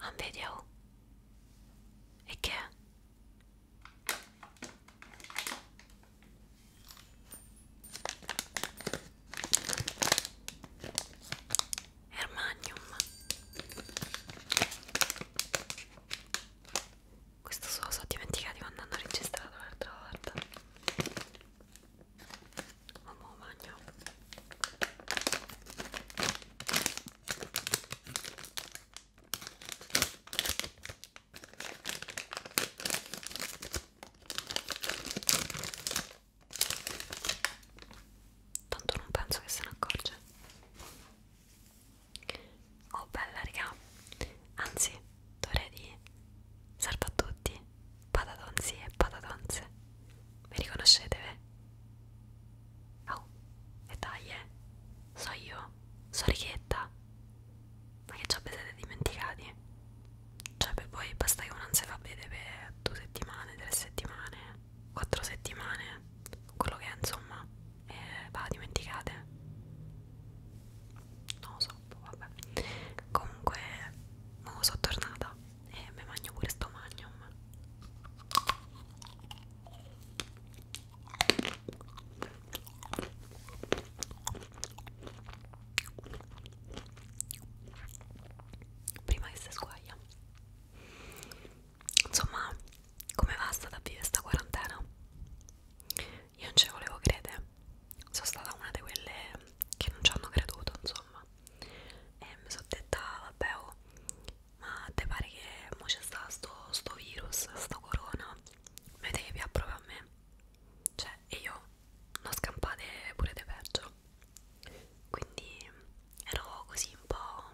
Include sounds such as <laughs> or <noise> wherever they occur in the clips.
Un video? E che è? Hermanium questo se lo so dimenticato di quando hanno registrato l'altra volta. Mamma bagno. Tanto non penso che se ne accorge. Oh bella raga, anzi dovrei dire salve a tutti, patatozzi e patatonze, mi riconoscete? Beh? Oh, e dai eh, so io, so Richetta, ma che già vi siete dimenticati? Cioè per voi basta che uno non si fa vedere per due settimane, tre settimane, quattro settimane, quello che è insomma eh, va dimenticate non lo so boh, vabbè comunque ma sono tornata e mi mangio pure sto magnum prima che si sguaglia insomma come va stata a vivere sta quarantena io non ci volevo credere, sono stata una di quelle che non ci hanno creduto, insomma. E mi sono detta, vabbè, oh, ma te pare che mo c'è sta sto, sto virus, sto corona, vedete che vi approva a me? Cioè, e io non scampate pure di peggio. Quindi ero così un po'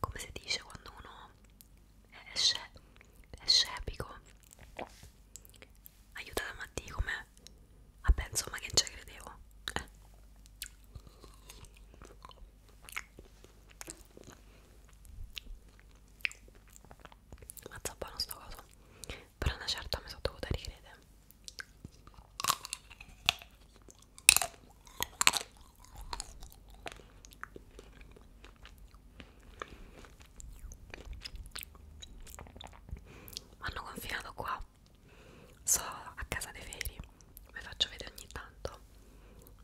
come si dice quando uno no? È, sce è scepico. Aiutata Matti com'è? Vabbè, insomma, che non ci credevo. Eh. Mazza buono sto coso. Però una certa mi sono dovuta ricredere. Mi hanno confinato qua. So a casa dei feri, ve faccio vedere ogni tanto.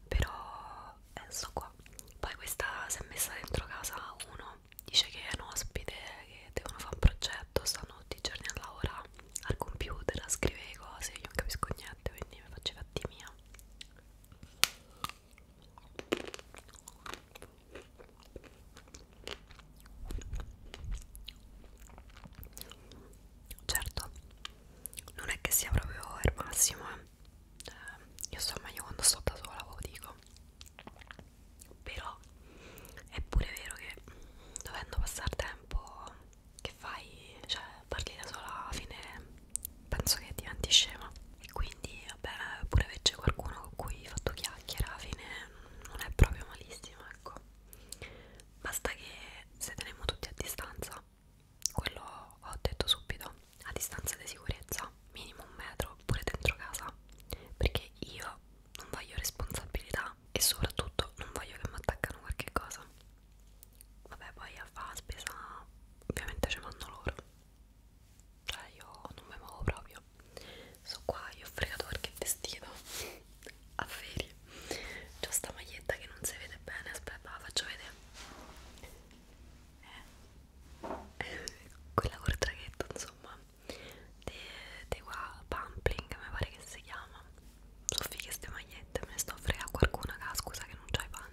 Però eh, sto qua. Poi questa si è messa dentro casa uno. Dice che è un ospite, che devono fare un progetto, stanno tutti i giorni a lavorare al computer, a scrivere cose, io non capisco niente, quindi mi faccio fatti mia. Certo, non è che sia proprio il massimo, eh. io insomma io quando sto da sola lo dico, però è pure vero che dovendo passare tempo che fai, cioè parli da sola alla fine penso che diventi scema e quindi vabbè pure se c'è qualcuno con cui hai fatto chiacchiera alla fine non è proprio malissimo ecco basta che se teniamo tutti a distanza quello ho detto subito a distanza di sicurezza minimo un metro pure dentro casa perché io non voglio responsabilità e soprattutto non voglio che mi attaccano qualche cosa vabbè poi a fare spesa ovviamente ci vanno loro cioè io non mi muovo proprio so qua io ho fregato qualche vestito <laughs> a ferie c'ho sta maglietta che non si vede bene aspetta la faccio vedere eh. <laughs> quella col traghetto insomma di, di qua Pampling mi pare che si chiama sono fighe ste magliette me ne sto a fregare qualcuna che scusa che non c'hai pane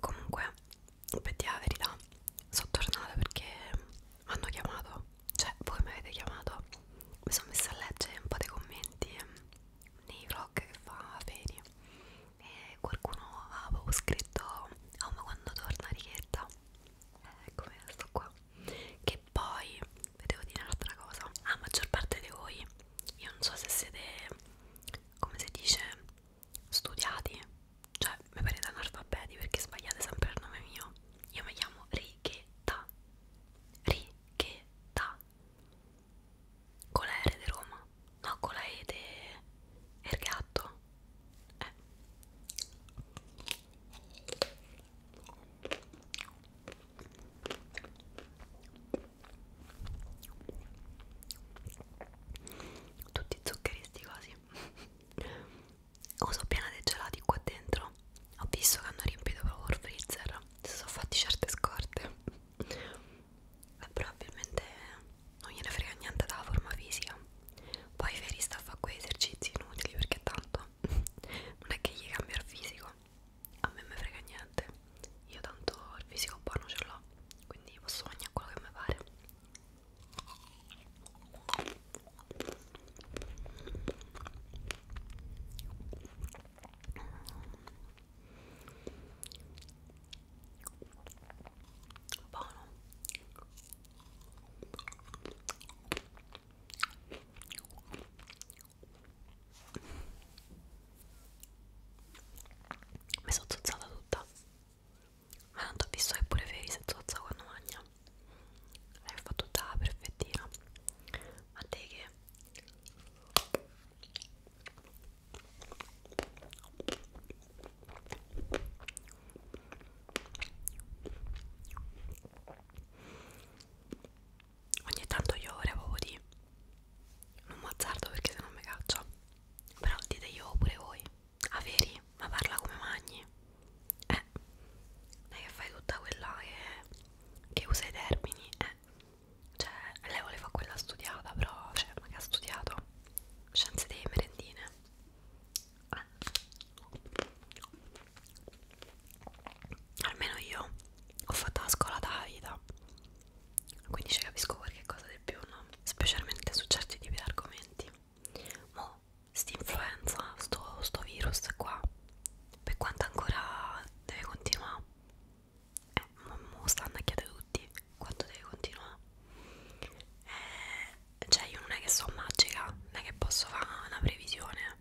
comunque per dire la verità sono tornata perché mi hanno chiamato cioè voi mi avete chiamato mi sono messa a leggere un po' dei commenti nei vlog che fa Feri e qualcuno aveva proprio scritto oh ma quando torna Richetta eccomi eh, sto qua che poi vi devo dire un'altra cosa la maggior parte di voi io non so se siete come si dice studiati cioè mi pare da analfabeti perché sbagliate sempre il nome mio io mi chiamo Righetta Righetta con la R di Roma no con la E di Ergatto eh tutti zuccheri sti cosi uso <laughs> piena dei gelati qua dentro ho visto che hanno riempito proprio il freezer si sono fatti certe scorte <laughs> e eh, probabilmente non gliene frega niente dalla forma fisica poi Feri sta a fare quegli esercizi inutili perché tanto <laughs> non è che gli cambia il fisico a me me frega niente io tanto il fisico buono ce l'ho quindi posso mangiare quello che mi pare buono mi sono zozzata tutta ma tanto ho visto che pure Feri si zozza quando mangia l'hai fatto tutta perfettina ma te che ogni tanto io volevo di non mazzardo perché se no mi caccia però dite io pure voi ah veri? ma parla come magni eh non è che fai tutta quella che, che usa i termini eh cioè lei voleva quella studiata però cioè ma che ha studiato scienze delle merendine eh almeno io ho fatto la scuola da vita quindi ci capisco qualche cosa di più no? specialmente su certi tipi di argomenti mo st'influenza sto, sto virus qua per quanto ancora deve continuare eh, mo, mo stanno a chiedere tutti quanto deve continuare eh, cioè io non è che sono magica non è che posso fare una previsione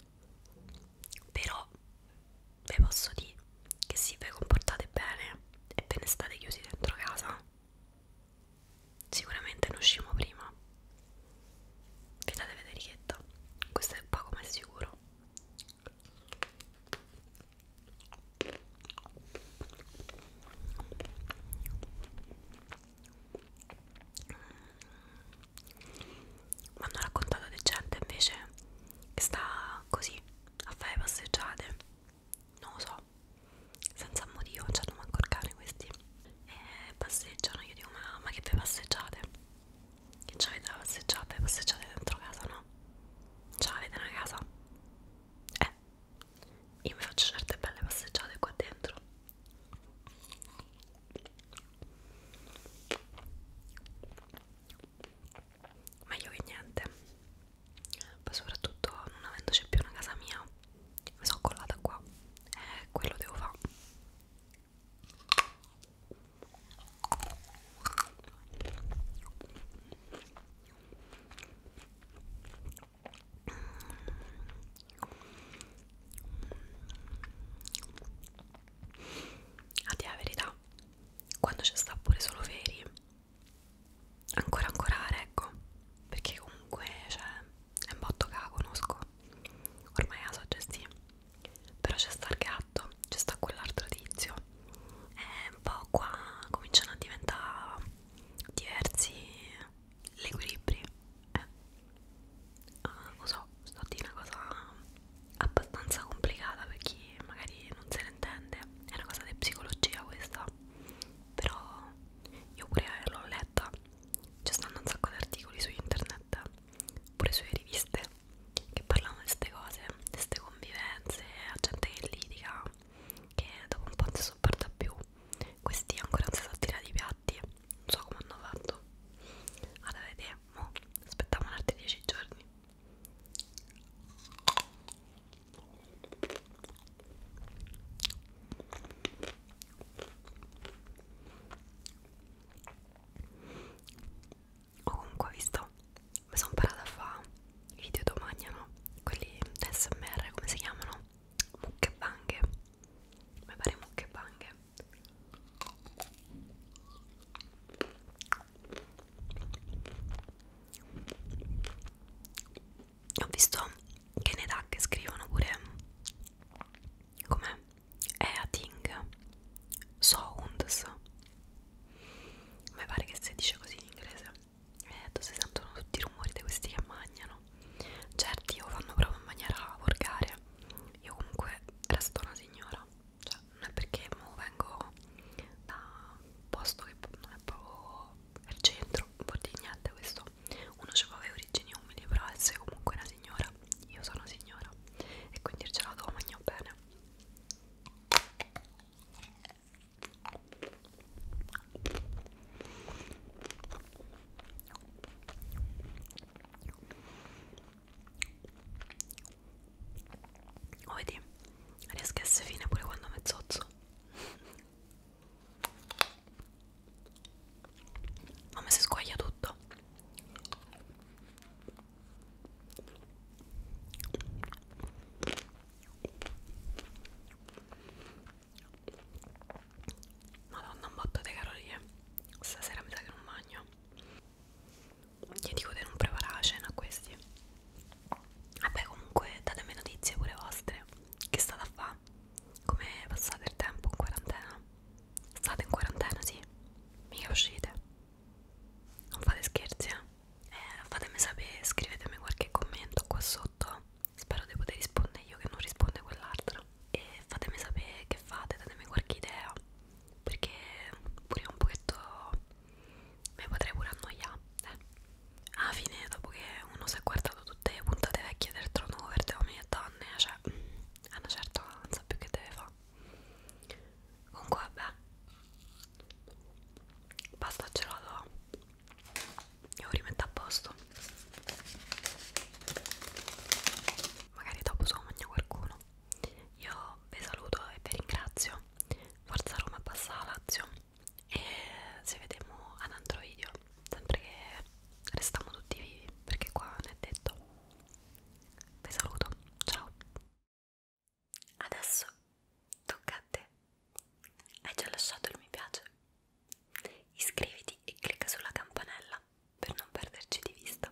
però ve posso dire che se vi comportate bene e ve ne state chiusi dentro casa sicuramente ne usciamo prima vi date vederichetta questo è poco ma è sicuro mi hanno raccontato di gente invece che sta così a fare passeggiate non lo so senza motivo non c'hanno manco il cane questi e passeggiano io dico ma, ma che vi passeggiate che c'avete da passeggiate passeggiate dentro casa no c'avete una casa eh io mi faccio certe belle passeggiate qua dentro meglio che niente poi soprattutto non avendoci più una casa mia mi sono collata qua e eh, quello devo fare a dire la verità quando c'è sta pure solo veri ancora ancorare ecco perché comunque cioè, è un botto che la conosco ormai la so gestire però c'è sta il gatto c'è sta quell'altro tizio e un po' qua cominciano a diventare diversi gli equilibri eh. ah, lo so sto a dire una cosa abbastanza complicata per chi magari non se ne intende è una cosa di psicologia questa però io pure l'ho letta ci stanno un sacco di articoli su internet pure sulle riviste che parlano di queste cose di queste convivenze a gente che litiga che dopo un po' non si sopporta più questi ancora non si sono tirati i piatti non so come hanno fatto allora vedete, mo aspettiamo altri 10 giorni Comunque, visto, mi sono imparata a fare i video domani, no? Quelli SMR, come si chiamano? Mucche banghe. Mi pare mucche banghe ho visto che ne dà che scrivono pure com'è Eating Sounds mi pare che si dice così in inglese e eh, si sentono tutti i rumori di questi che mangiano certi o fanno proprio in maniera volgare io comunque resto una signora cioè non è perché vengo da un posto che non è proprio al centro, un po' di niente questo uno aveva le origini umili però Elsa è comunque una signora, io sono signora e quindi il gelato lo mangio bene Oh, vedi, riesco a essere fine pure quando mezzozzo. Ma mi si squaglia tutto. Madonna, un botto di carolie. Stasera mi sa che non bagno gli dico di non preparare la cena a questi vabbè comunque datemi notizie pure vostre che state a fare come passate il tempo in quarantena state in quarantena sì mica uscite non fate scherzi eh? Eh, fatemi sapere scrivetemi qualche commento qua sotto spero di poter rispondere io che non risponde quell'altro e fatemi sapere che fate datemi qualche idea perché pure un pochetto mi potrei pure annoiare eh. alla fine dopo che uno si è guardato tutte le puntate vecchie del trono verde uomini e donne cioè a una certa non sa più che deve fare comunque vabbè basta gelato devo rimettere a posto magari dopo se lo mangia qualcuno italiano. Io vi saluto e vi ringrazio. Forza Roma passa la Lazio e ci vediamo ad altro video, sempre che restiamo tutti vivi, perché qua non è detto. Vi saluto, ciao. Adesso tocca a te. Hai già lasciato il mi piace? Iscriviti e clicca sulla campanella per non perderci di vista